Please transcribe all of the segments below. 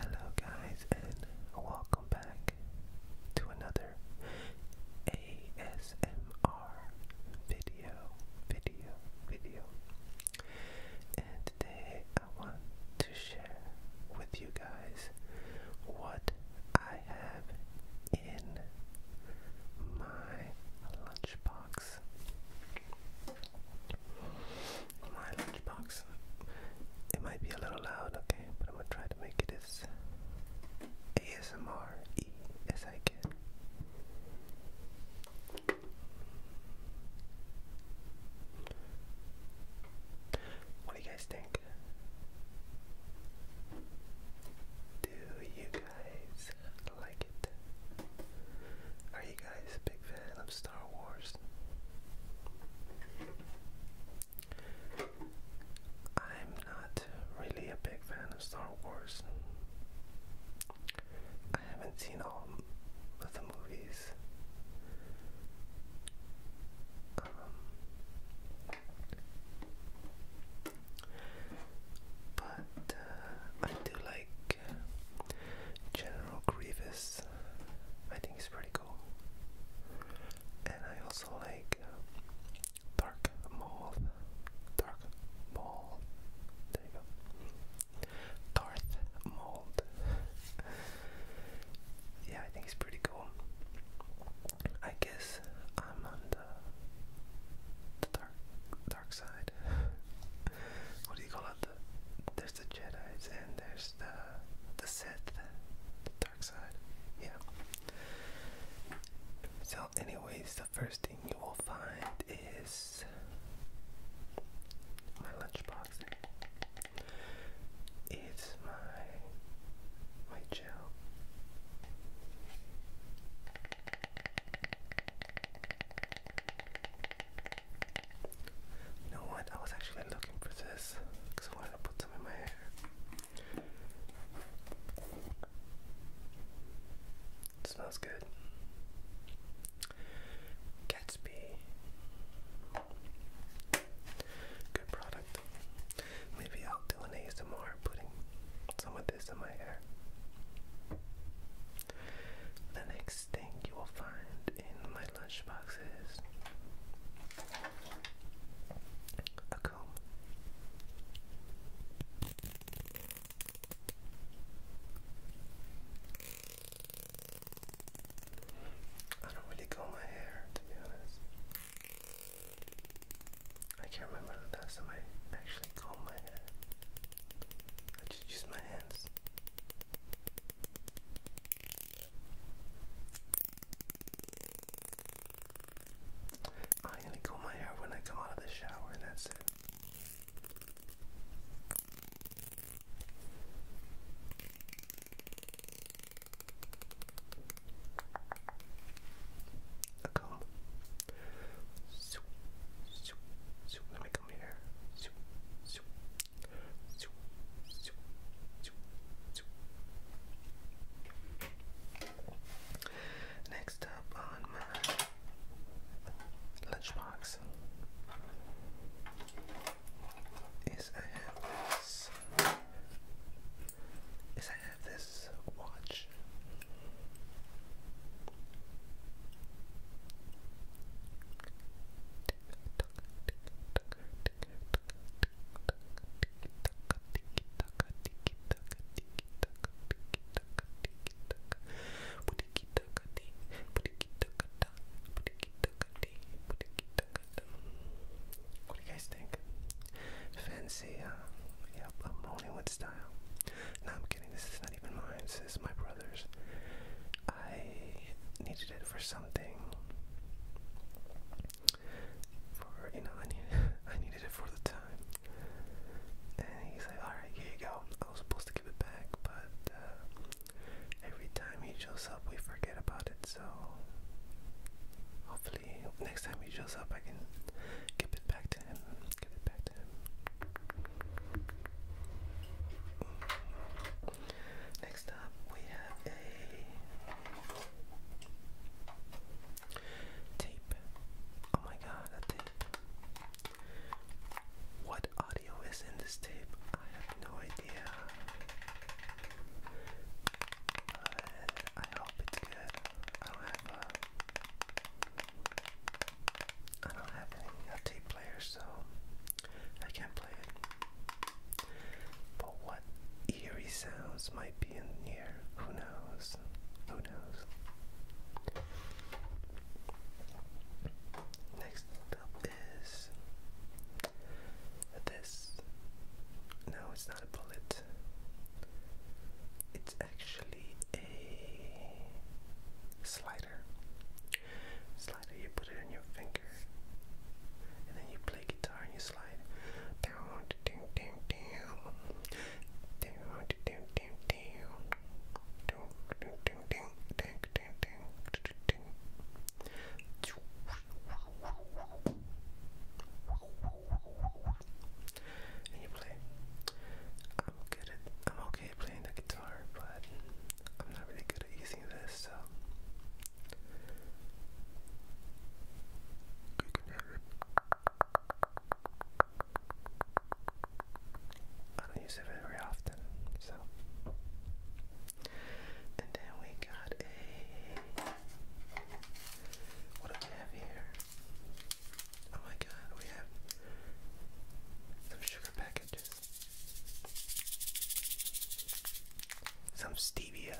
Hello, guys, and welcome back to another ASMR video, video, video. And today I want to share with you guys what I have in my lunchbox my lunchbox. It might be a little loud, okay, but I'm gonna try to make it as ASMR as I can. What do you guys think? Do you guys like it? Are you guys big of Star Wars. I'm not really a big fan of Star Wars. I haven't seen all of the movies. Um, but uh, I do like General Grievous. I think he's pretty cool. And I also like um, Maul. Dark Maul. There you go. Darth Maul. yeah, I think he's pretty cool. I guess I'm on the dark dark side what do you call it? there's the Jedi's and there's the the Sith, the dark side. Yeah. So, anyways, the first thing you will find is my lunchbox. It's my my gel know what? I was actually looking for this because I wanted to put some in my hair. smells good. Gatsby. Good product. Maybe I'll do an ASMR putting some of this in my hair. The next thing you will find in my lunchboxes, a comb. I don't really comb my hair, to be honest. I can't remember the last time I actually combed my hair. I just use my hands. I'm gonna comb my hair when I come out of the shower, and that's it. A comb. Let me Next up on my lunchbox is I have this is I have this watch. What do you guys think? Fancy, uh, yep, a Hollywood style. No, I'm kidding. This is not even mine. This is my brother's. I needed it for something. For you know, I needed it for the time. And he's like, alright, here you go. I was supposed to give it back, but uh, every time he shows up, we forget about it. So hopefully, next time he shows up, I can give it back to him. Give it back to him. Next up, we have a tape. Oh my god, a tape. What audio is in this tape? I have no idea. Uh, I hope it's good. I don't have a. Uh, I don't have any tape player, so I can't play it. But what eerie sounds might be in here? Who knows? Who knows? Next up is this. No, it's not a bullet. It's actually a slider. Slider, you put it on your finger. And then you play guitar and you slide down, down, down, down, down, down, down, down, down, down, down, down, down, down, down, down. And you play. I'm good at. I'm okay playing the guitar, but I'm not really good at using this, so I don't use it very often, so. And then we got a. What do we have here? Oh my god, we have some sugar packages. Some stevia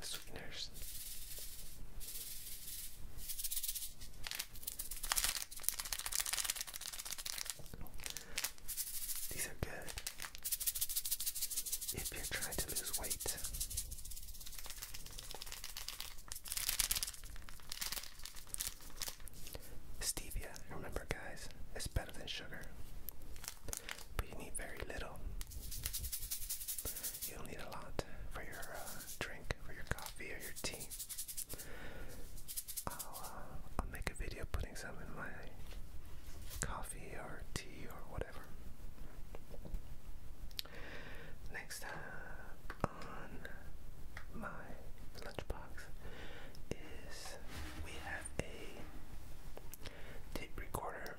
sweeteners. These are good if you're trying to lose weight. Stevia, remember guys, it's better than sugar, but you need very little. You'll need a lot for your uh, drink, for your coffee or your tea. Uh, I'll, make a video putting some in my coffee or tea or whatever. Next on my lunchbox is we have a tape recorder.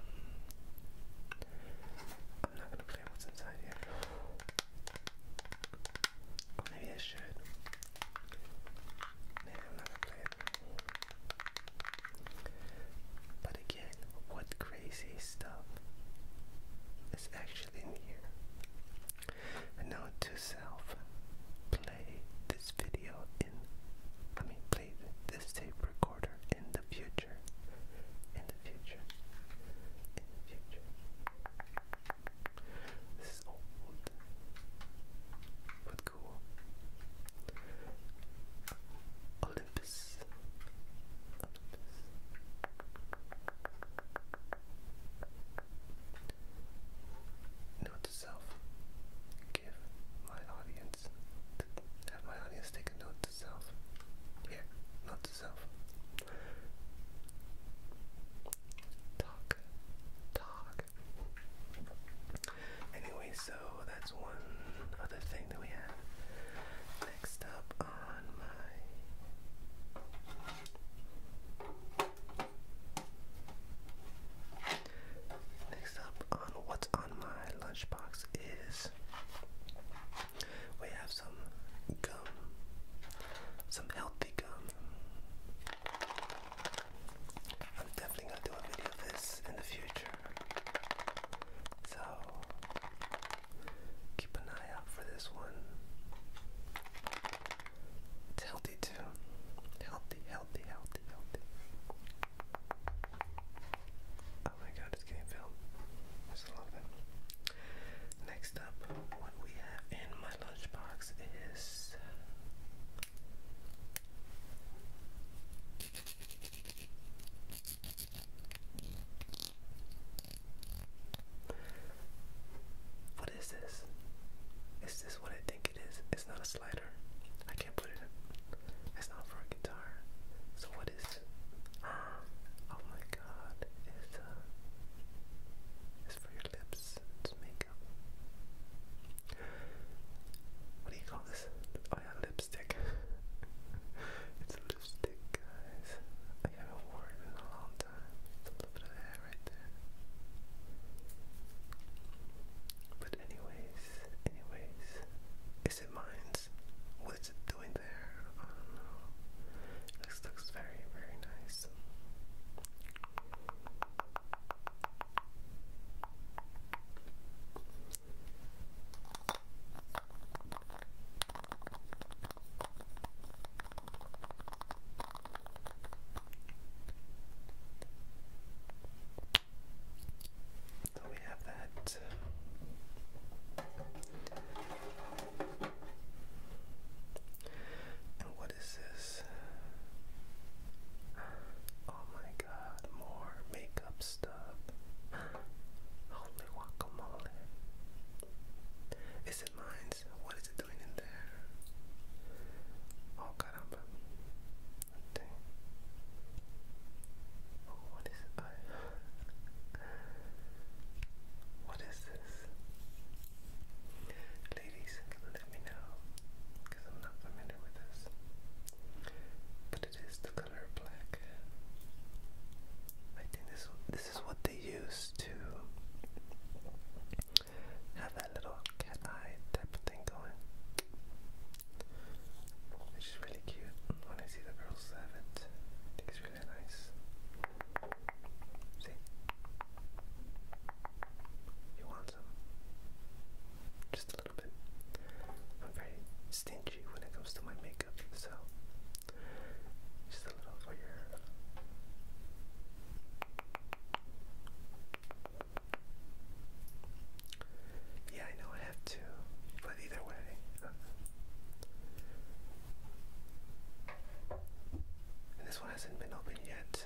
I'm not gonna play what's inside yet. Oh, maybe I should. Maybe I'm not gonna play it. But again, what crazy stuff is actually in here? A to self, play this video in, I mean, play this tape recorder in the future, in the future, in the future. This is old, but cool. Olympus. Note to self. Give my audience. Have my audience take a note to self. Here, note to self. Talk. Talk. Anyway, so that's one other thing that we have. Next up on my Next up on what's on my lunchbox is we have some gum, some healthy gum. I'm definitely gonna do a video of this in the future. So keep an eye out for this one. It's healthy too. Healthy, healthy, healthy, healthy. Oh my god, it's getting filled. I love it. Next up, what we have in my lunchbox is. What is this? Is this what I think it is. It's not a slider. I can't put it It's not for a guitar. So what is um, Oh my god. It's uh it's for your lips. It's makeup. What do you call this? Oh yeah, lipstick. it's lipstick guys. I haven't worn it in a long time. It's But anyways, anyways, is it mines? What is it doing there? I don't know. This looks very, very nice. So we have that. And what is this? Oh my god, more makeup stuff. Holy guacamole. Is it mine's? what is it doing in there? Oh, caramba. Oh, what is it? What is this? Ladies, let me know, because I'm not familiar with this. But it is the color black. I think this this is what they use to have that little cat eye type of thing going. Which is really cute when I see the girls have it. I think really nice. See? You want some? Just a little bit. I'm very stingy when it comes to my makeup, so just a little for your yeah, I know I have to, but either way. Uh, this one hasn't been opened yet.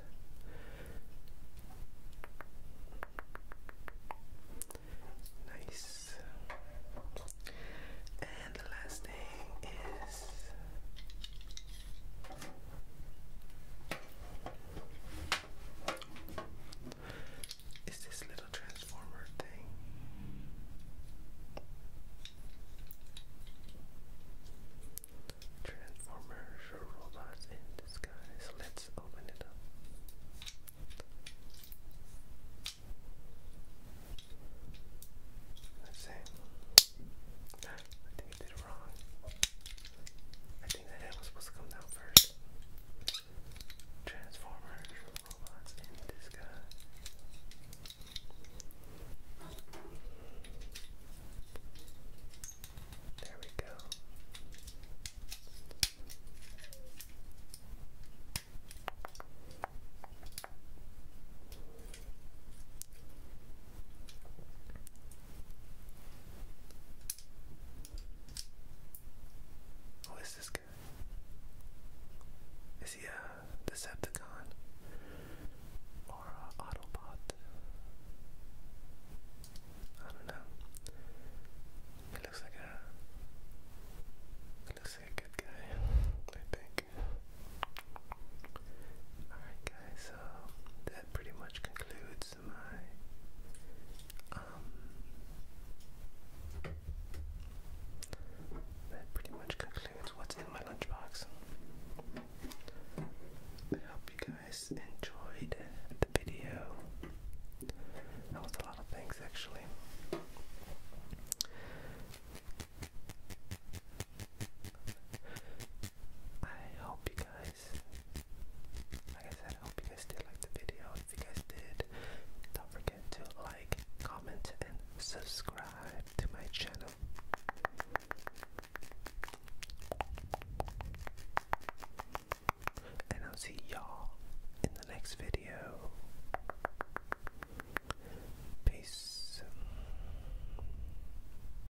Nice. And the last thing is is this little transformer thing? Transformers robots in disguise. Let's open it up. Let's see it wrong. I think the head was supposed to come down first. Transformers, robots in disguise. There we go. Who is this guy? Is he a Decepticon or an Autobot? I don't know. He looks like a. He looks like a good guy. I think. Alright, guys that pretty much concludes my um that pretty much concludes what's in my lunchbox. I hope you guys enjoyed the video. That was a lot of things actually. I hope you guys like I said, I hope you guys did like the video. If you guys did, don't forget to like, comment, and subscribe to my channel. And I'll see y'all in the next video. Peace.